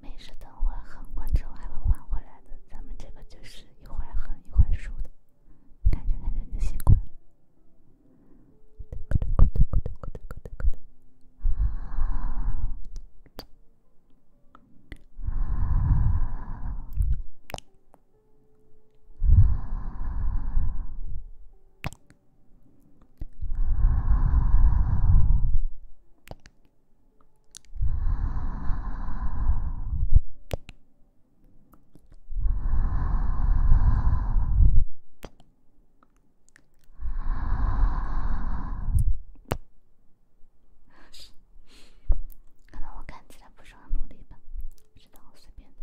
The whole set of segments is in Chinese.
没事的，会恨，之后还会还回来的。咱们这个就是一会恨，一会输的，看着看着就习惯对难道我看起来不是很努力吗？知道我随便的。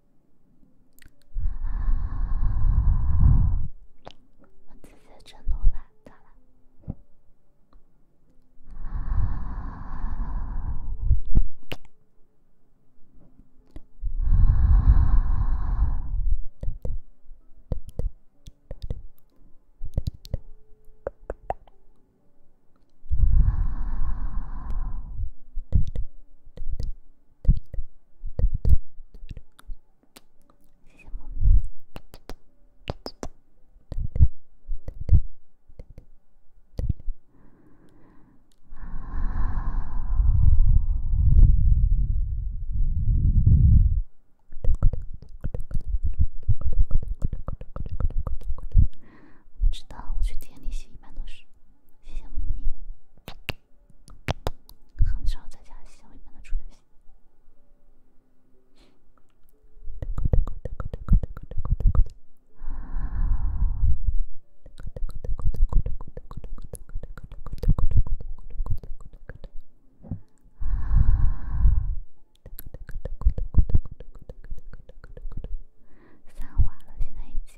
我自己振动吧，咋了？我知道，我去店里洗般都是。谢谢我名。很少在家小里面住就行。啊。啊。啊。啊。啊。啊。啊。啊。啊。啊。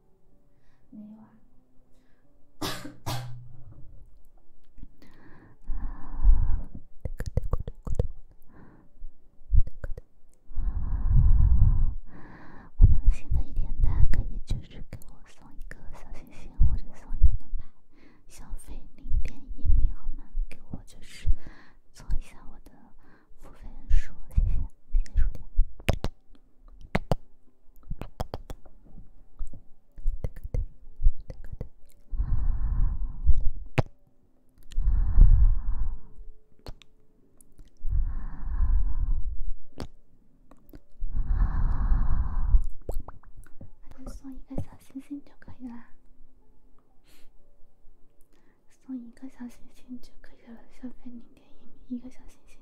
我们新的一天，大家可以就是给我送一个小心心，或者送一张牌，消费零点一米好吗？给我就是做一下我的。不分手，谢谢。谢谢。手，对那就送一个小心心就可以啦。送一个小心心就可以了，消费小仙米，一个小心心。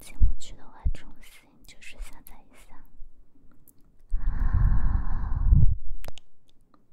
进不去的话，重新就是下载一下。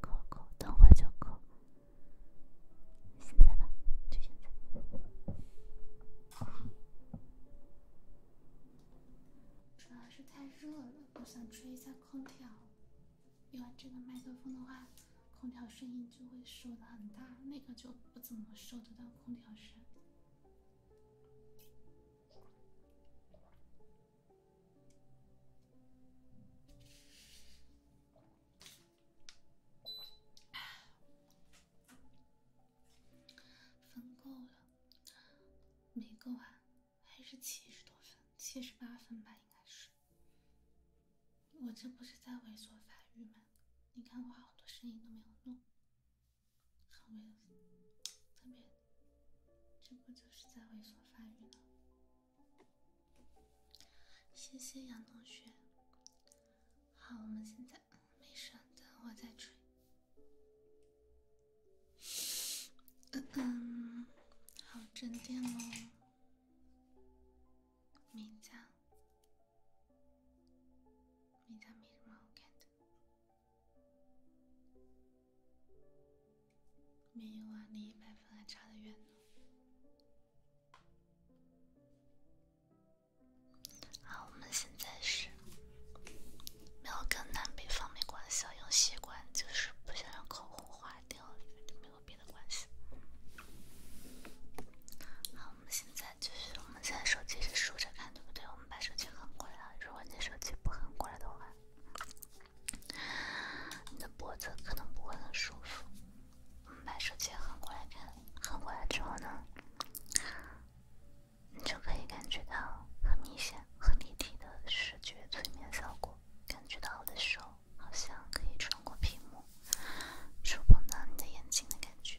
够够，等会就够。现在吧，就现在。主要是太热了，我想吹一下空调。因为这个麦克风的话，空调声音就会收的很大，那个就不怎么收得到空调声。分够了，没够啊，还是七十多分，七十八分吧，应该是。我这不是在猥琐发育吗？你看我好多声音都没有弄。很没有，特别，这不就是在猥琐发育了？谢谢杨同学。好，我们现在嗯，没事，等会再吹。嗯嗯，好，正电喽，名将。有点儿迷茫，感觉。我英语还离一百分还差得远呢。好，我们现在是没有跟南北方没关系，用习惯就是不想让口红化掉了，没有别的关系。好。我们现在就是，我们现在手机是竖着看，对不对？我们把手机横过来，啊。如果你的手机不横过来的话，你的脖子可能不会很舒服。我们把手机横过来看，横过来之后呢，你就可以感觉到很明显、很立体的视觉催眠效果，感觉到我的手好像可以穿过屏幕，触碰到你的眼睛的感觉。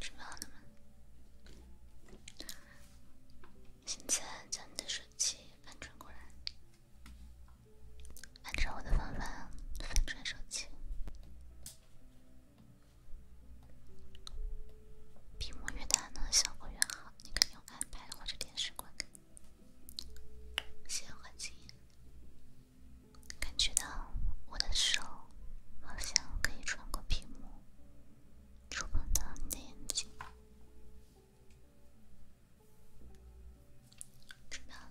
吃饱了吗？现在将你的手机翻转过来，按照我的方法翻转手机。屏幕越大呢，效果越好。你可以用 iPad 或者电视观看。谢谢关心。感觉到我的手好像可以穿过屏幕，触碰到你的眼睛。知道了。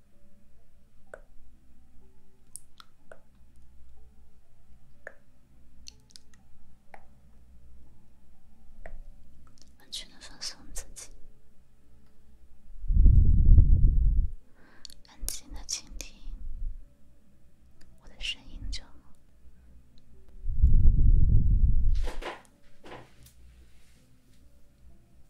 完全的放松自己，安静的倾听我的声音就好。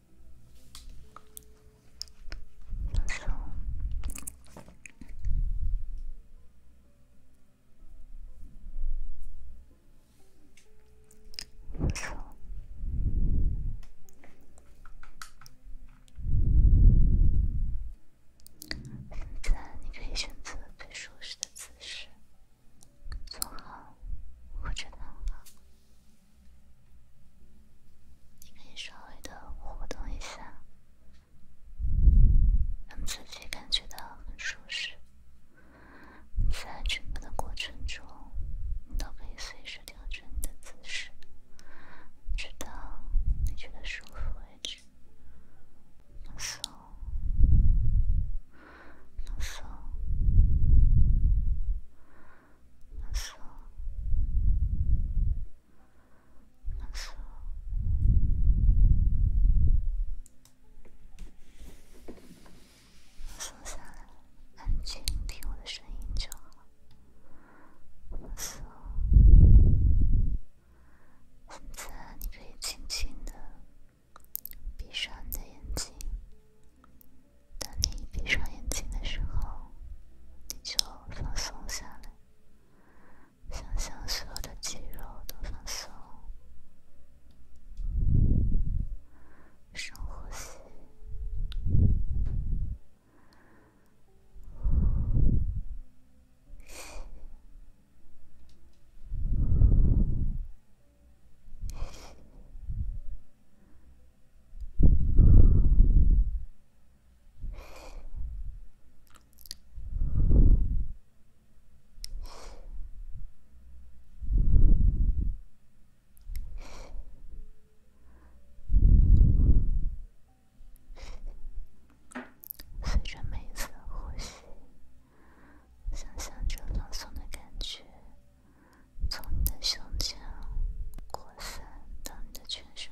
现在你可以选择最舒适的姿势，坐好或者躺好。你可以稍微的活动一下，让自己感觉到很舒适。在整个的过程中，你都可以随时调整你的姿势，直到你觉得舒服为止。放松，放松，放松。放松下来，安静听我的声音就好。放松，现在你可以轻轻的闭上你的眼睛。当你闭上眼睛的时候。你就放松下来，想象所有的肌肉都放松，深呼吸。随着每一次的呼吸，想象着朗诵的感觉从你的胸腔扩散到你的全身。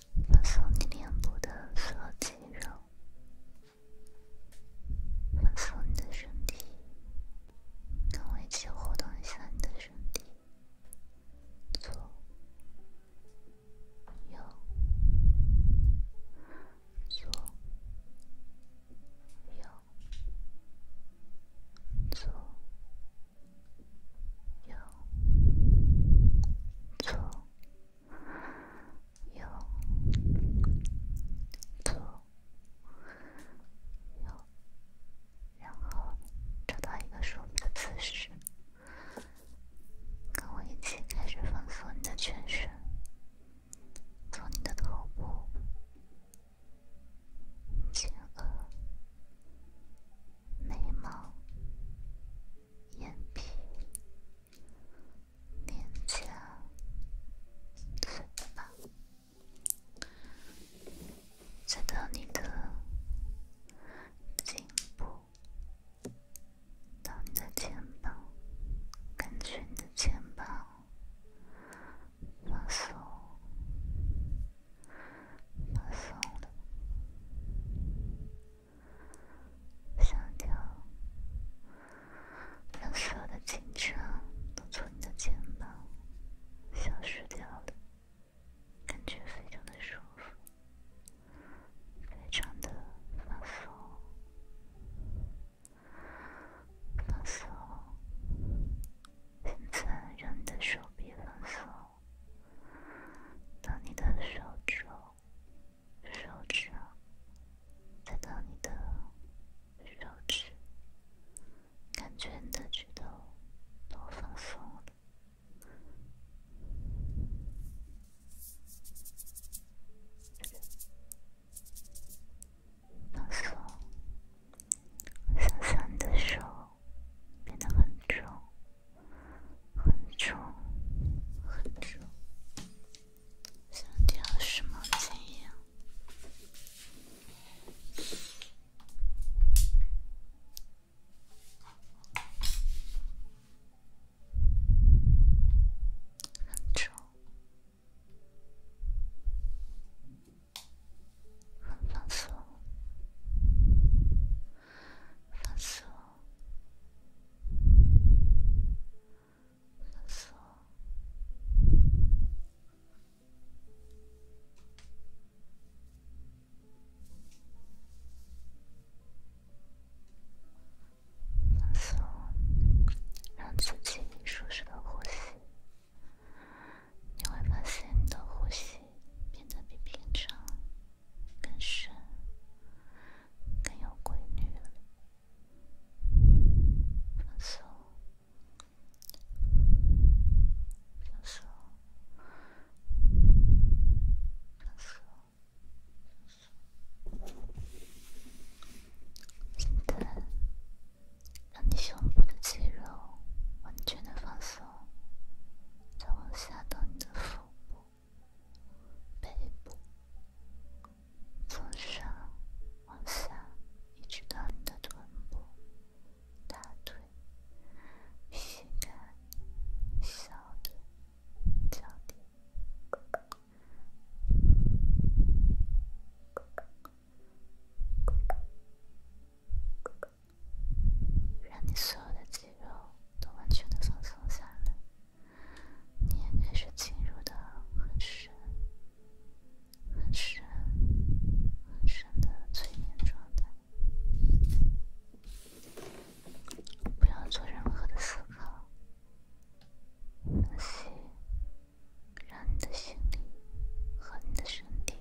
放松你脸部的所有肌肉，放松你的身体，跟我一起活动一下你的身体，左、右、左、右、左、右、左。六、二、六，然后找到一个舒服的姿势，跟我一起开始放松你的全身，从你的头部、前额、眉毛。眼皮、脸颊、嘴巴，再到你的颈部、你的肩膀、感觉你的肩膀放松、放松的。想掉，让所有的紧张都从你的肩膀消失掉，了。感觉非常的舒服，非常的放松，放松。现在让你的手臂放松。到你的手肘、手指，再你的手指，感觉你的指头放松放松，酸酸的手变得很重。很重，很重，像掉十毛钱一样，很重，很放松。放松，放松，放松，让自己舒适的呼吸。你会发现，你的呼吸变得比平常。更深，更有规律了。放松，放松，放松，放松。现在，让你胸部的肌肉完全的放松，再往下到你的腹部。背部，从上往下，一直到你的臀部、大腿、膝盖、小腿、脚底，让你所有的肌肉都完全的放松下来，你也开始进入到很深、很深、很深的催眠状态。不要做任何的思考，呼吸。让你的心和你的身体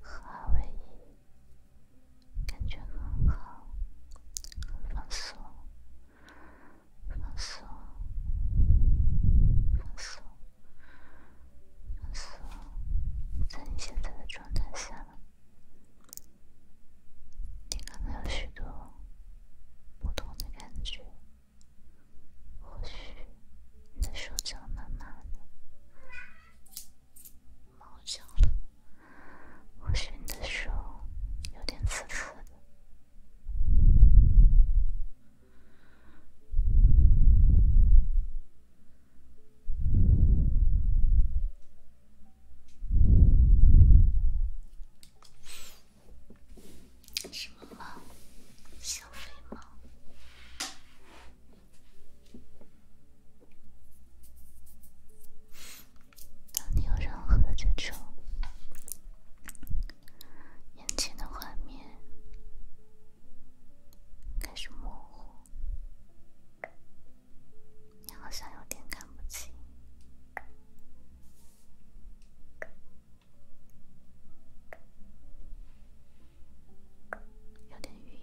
合二为一。感觉很好，放松，放松，放松，放松。在你现在的状态下，你可能有许多不同的感觉。或许你的手觉，慢慢的。猫叫了，我伸的手有点刺刺的。什么猫？小肥猫？当你有任何的追触，眼前的画面开始模糊，你好像有点看不清，有点晕。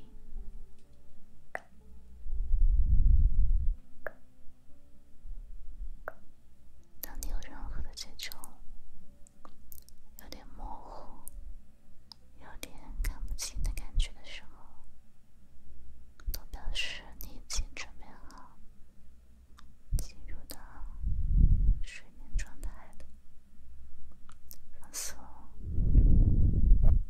当你有任何的接触，有点模糊，有点看不清的感觉的时候，都表示你已经准备好进入到睡眠状态了，放松。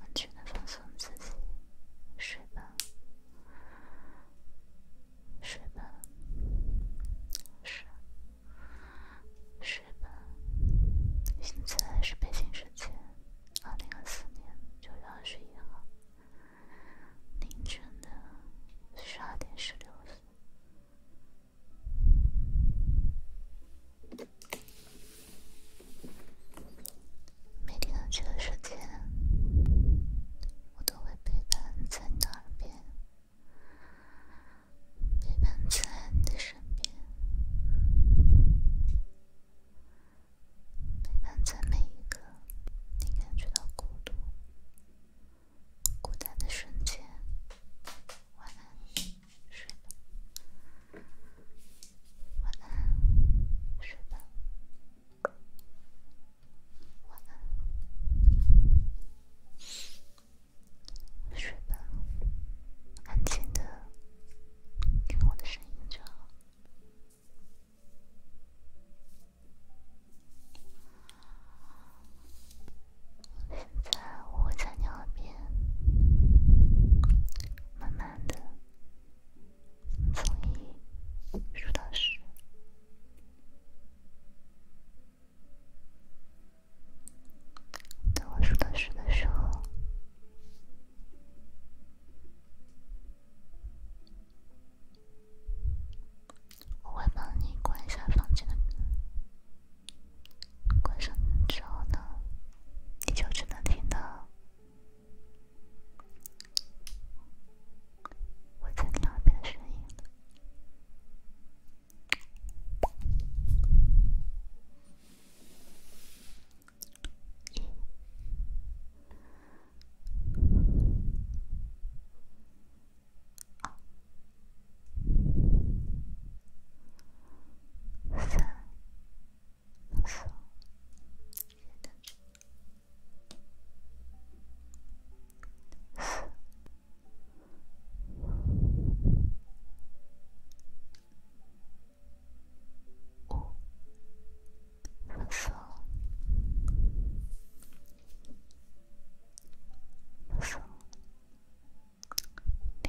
完全的放松自己，睡吧，睡吧，是，睡吧。现在是北京时间二零二四年九月二十号凌晨的十二点十六分。每天这个时间，我都会陪伴在你的耳边，陪伴在你的身边，陪伴在每一个你感觉到孤独、孤单的瞬间。晚安。睡吧，晚安，睡吧，晚安，睡吧，安静的，听我的声音就好。现在我会在你耳边慢慢的。从一数到十，等我数到十的时候，我会帮你关一下房间关上门之后呢，你就只能听到。我在那边的声音。三，四，五，三，三，六。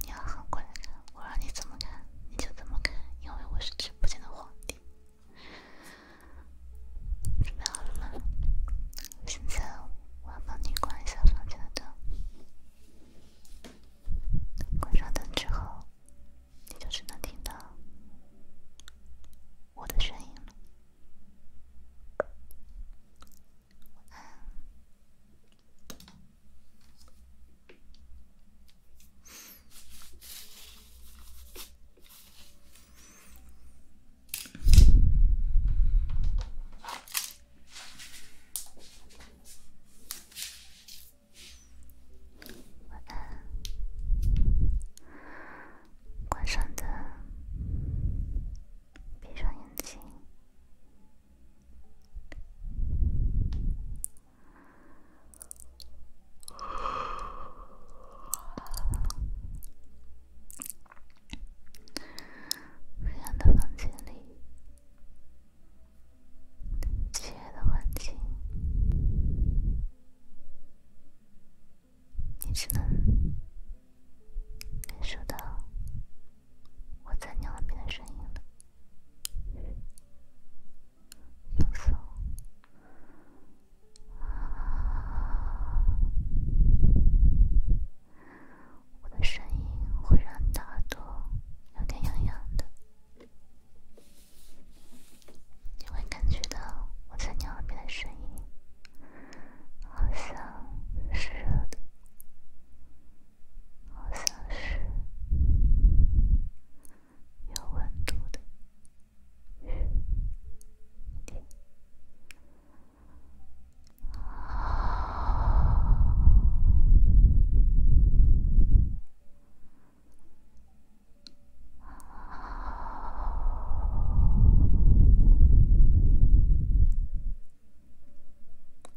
你要横过来看，我让你怎么看，你就怎么看，因为我是直播间的皇帝。准备好了吗？现在我要帮你关一下房间的灯。关上灯之后，你就只能听到我的声音了。晚安。晚安，关上灯，闭上眼睛。黑暗的房间里，漆黑的环境，你只能感受到。我在你耳边的声音呢？放松。我的声音会让你的耳朵有点痒痒的，你会感觉到我在你耳边的声音，好像是热的。好像是有温度的雨滴。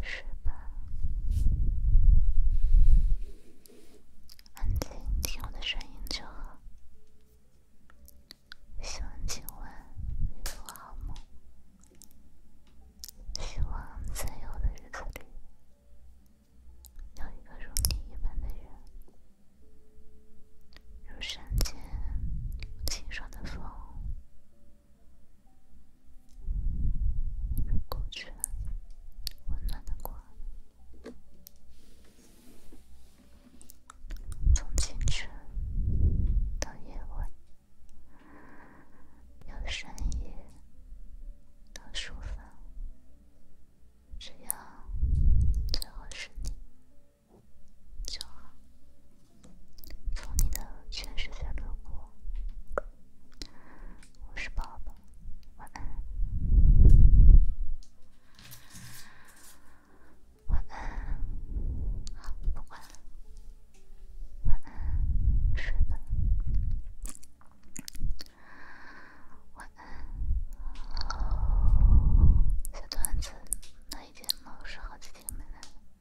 睡吧，安静，听我的声音就好。希望今晚你做好梦。希望在以后的日子里，有一个如你一般的人，如山间清爽的风。过去，温暖的光，从清晨到夜晚，由深夜到书房，只要最后是你就好。从你的全世界路过，我是宝宝，晚安，晚安，好，不管，了，晚安，睡吧，晚安，好，小团子，那一天老师好几天没来。了。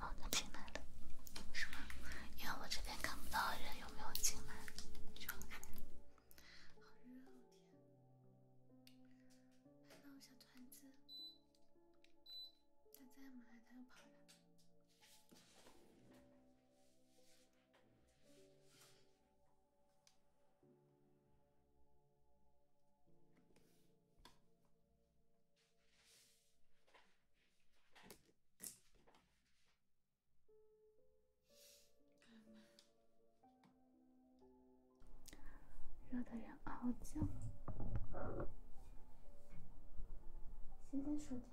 哦，他进来了，是吗？因为我这边看不到人有没有进来，去看好热，好天。还有小团子，他再不他就跑了。热的人熬僵，谢谢收听。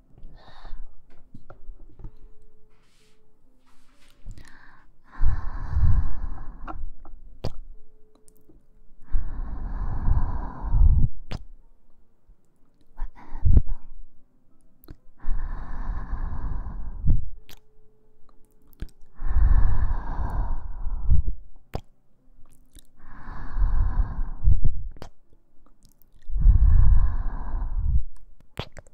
晚安，宝宝。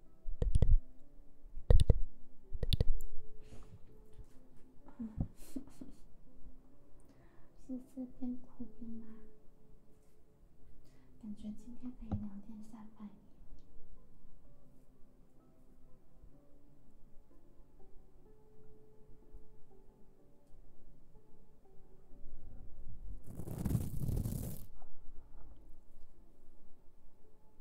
是这边苦边吗？感觉今天可以聊点啥呗。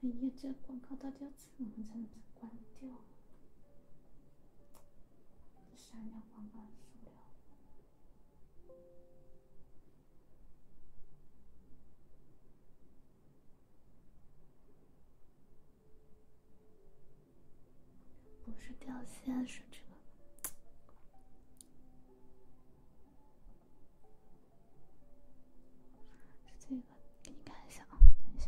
搿么伊广告到底要怎么才能伊拉讲伊拉广告的数量。不是掉线是这个，是这个，给你看一下啊，看一下。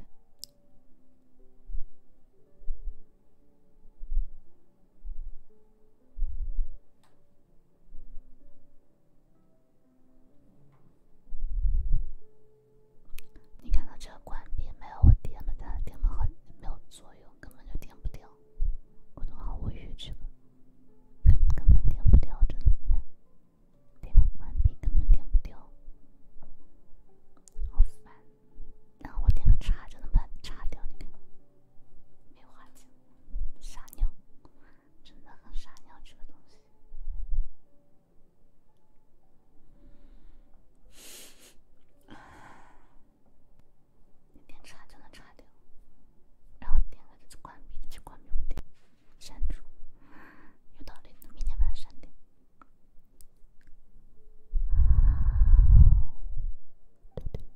你看到这个关闭没有？我点了它点了好没有作用，根本就点不掉。我都毫无预知个根根本点不掉，真的，你看，点个关闭根本点不掉，好烦。然后我点个叉就能把它叉掉，你看。没话题，傻鸟，真的很傻鸟，这个东西，点就能掉，然后点关闭，关闭，删除，有道理明天删掉。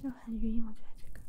就很晕，我觉得这个。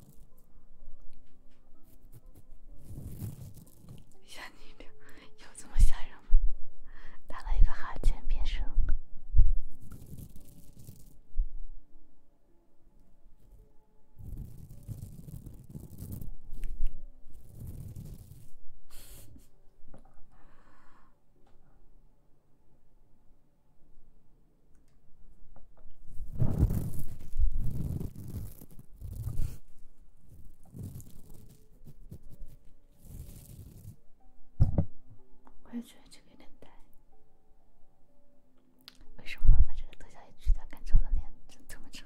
吓你一跳，有这么吓人吗？打了一个寒颤，别声了。得这个有点呆。为什么把这个特效一去掉，看着我的脸这么长？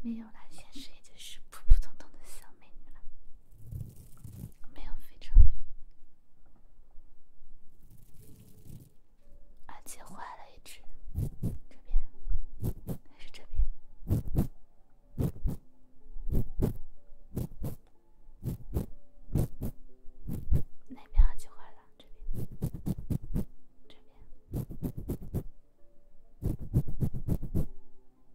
没有啦，现实也就是普普通通的小美女了。没有飞车，耳机坏了一只。这边还是这边，那边耳机坏了。这边，这边。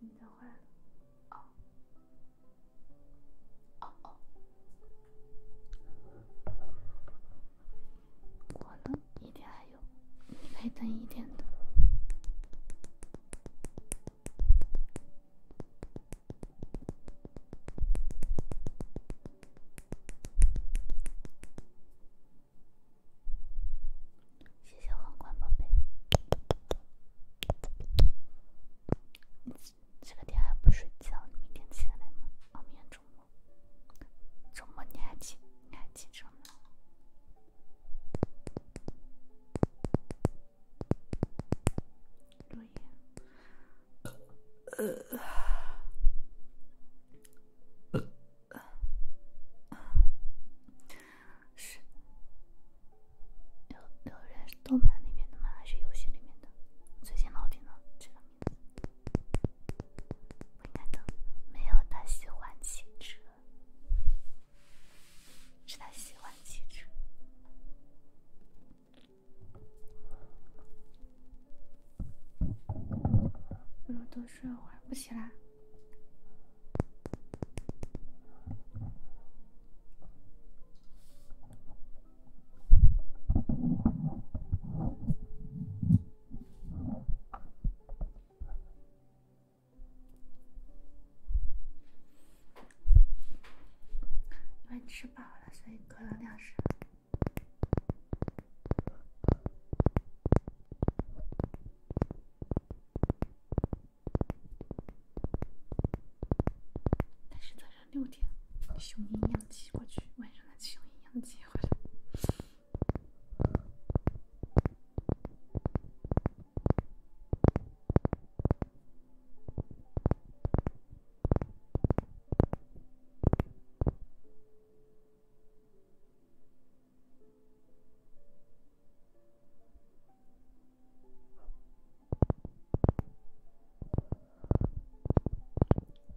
你等会，哦哦哦，过了一点还有，你等一点的。谢谢皇冠宝贝。这个点还不睡觉，你明天起来吗？哦，明天周末，周末你还起，你还记着吗？落叶。是，刘刘动漫里面的吗？还是游戏里面的？最近老听到这个。难道没有他喜欢汽车？是他喜欢汽车。不如多睡会儿，不起来。我吃饱了，所以喝了两升。但是早上六点雄鹰养鸡过去，晚上再雄鹰养鸡回来。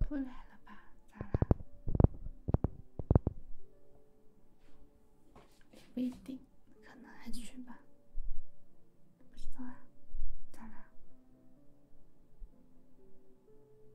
不来了吧？咋啦？也不一定，可能还去吧，不知道啊，咋啦？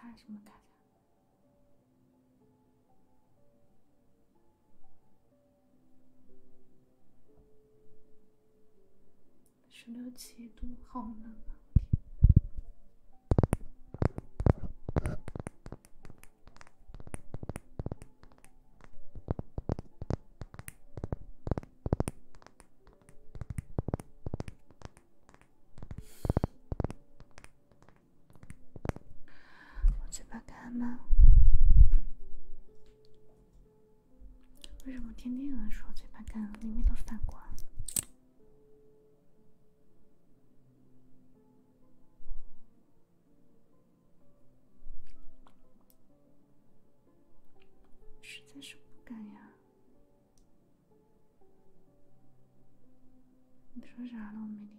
咔嚓什么咔嚓？十六七度，好冷啊！我嘴巴干吗？为什么天天有人说嘴巴干，里面都反光，实在是不敢呀！你说啥了，我没听。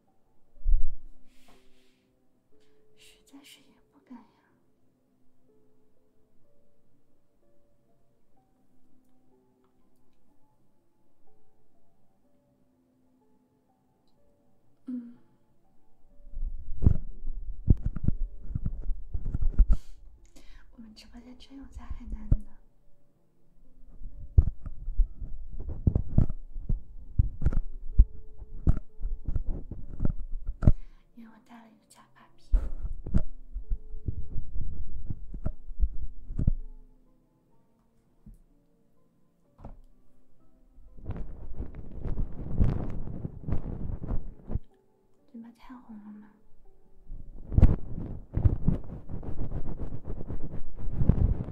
实在是也不敢呀。嗯，我们直播间真有在海南的。给我戴了一条发带，嘴巴太红了吗？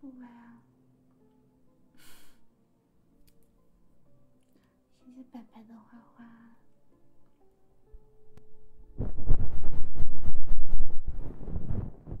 不会啊，其实白白的花花。Thank you.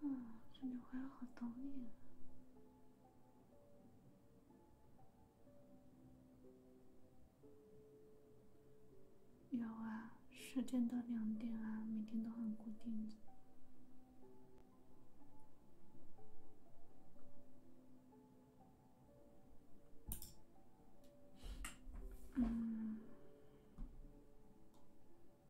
嗯，这女孩好懂你。有啊，十点到两点啊，每天都很固定的。嗯。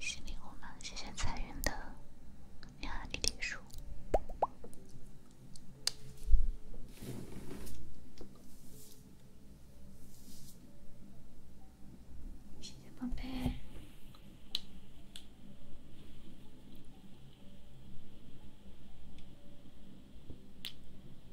新礼物吗？谢谢彩云的你好立体书，谢谢宝贝。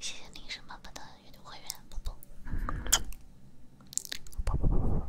谢谢女神妈妈的月度会员，啵啵啵啵啵啵。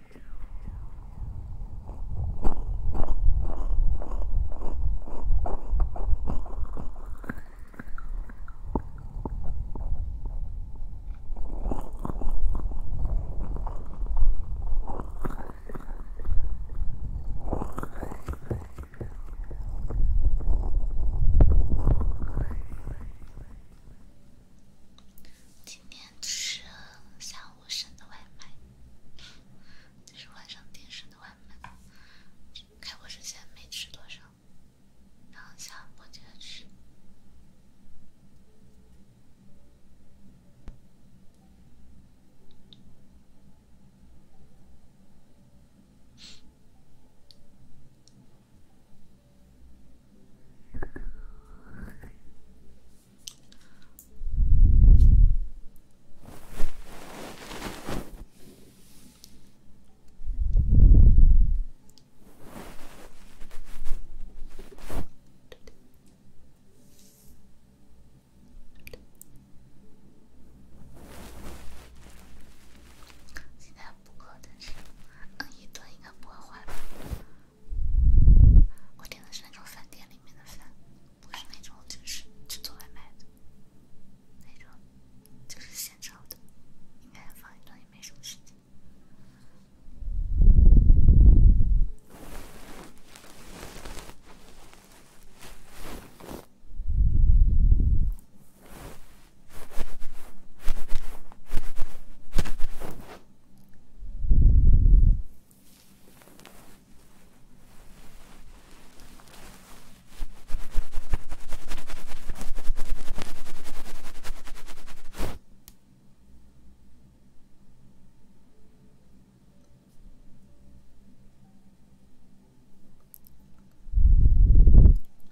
今天吃下午剩的外卖。就是晚上点吃的外卖，开播之前没吃多少，然后下播就吃。现在补课，但是摁一顿应该不会坏吧？我点的是那种饭店里面的饭，不是那种就是去做外卖的，那种就是现炒的。应该放一段也没什么时间。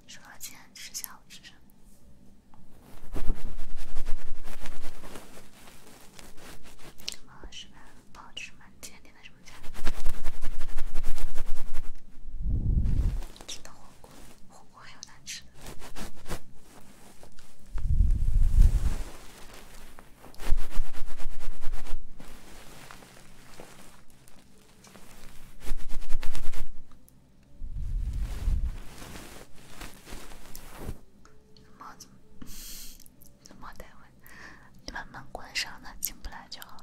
说到今天吃，下午吃什么？怎么失败了？不好吃吗？今天点的什么菜？吃的火锅，火锅还有难吃的。怎么怎么？莫得味，你把门关上，他进不来就好了。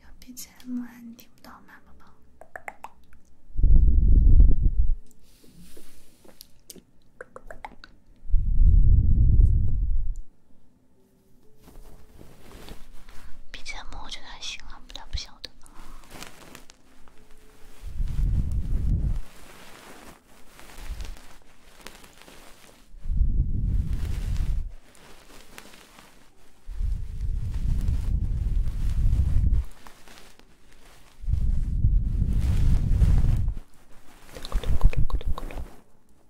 有 BGM 啊，你听不到吗，宝宝？BGM 我觉得还行啊，不大不小的。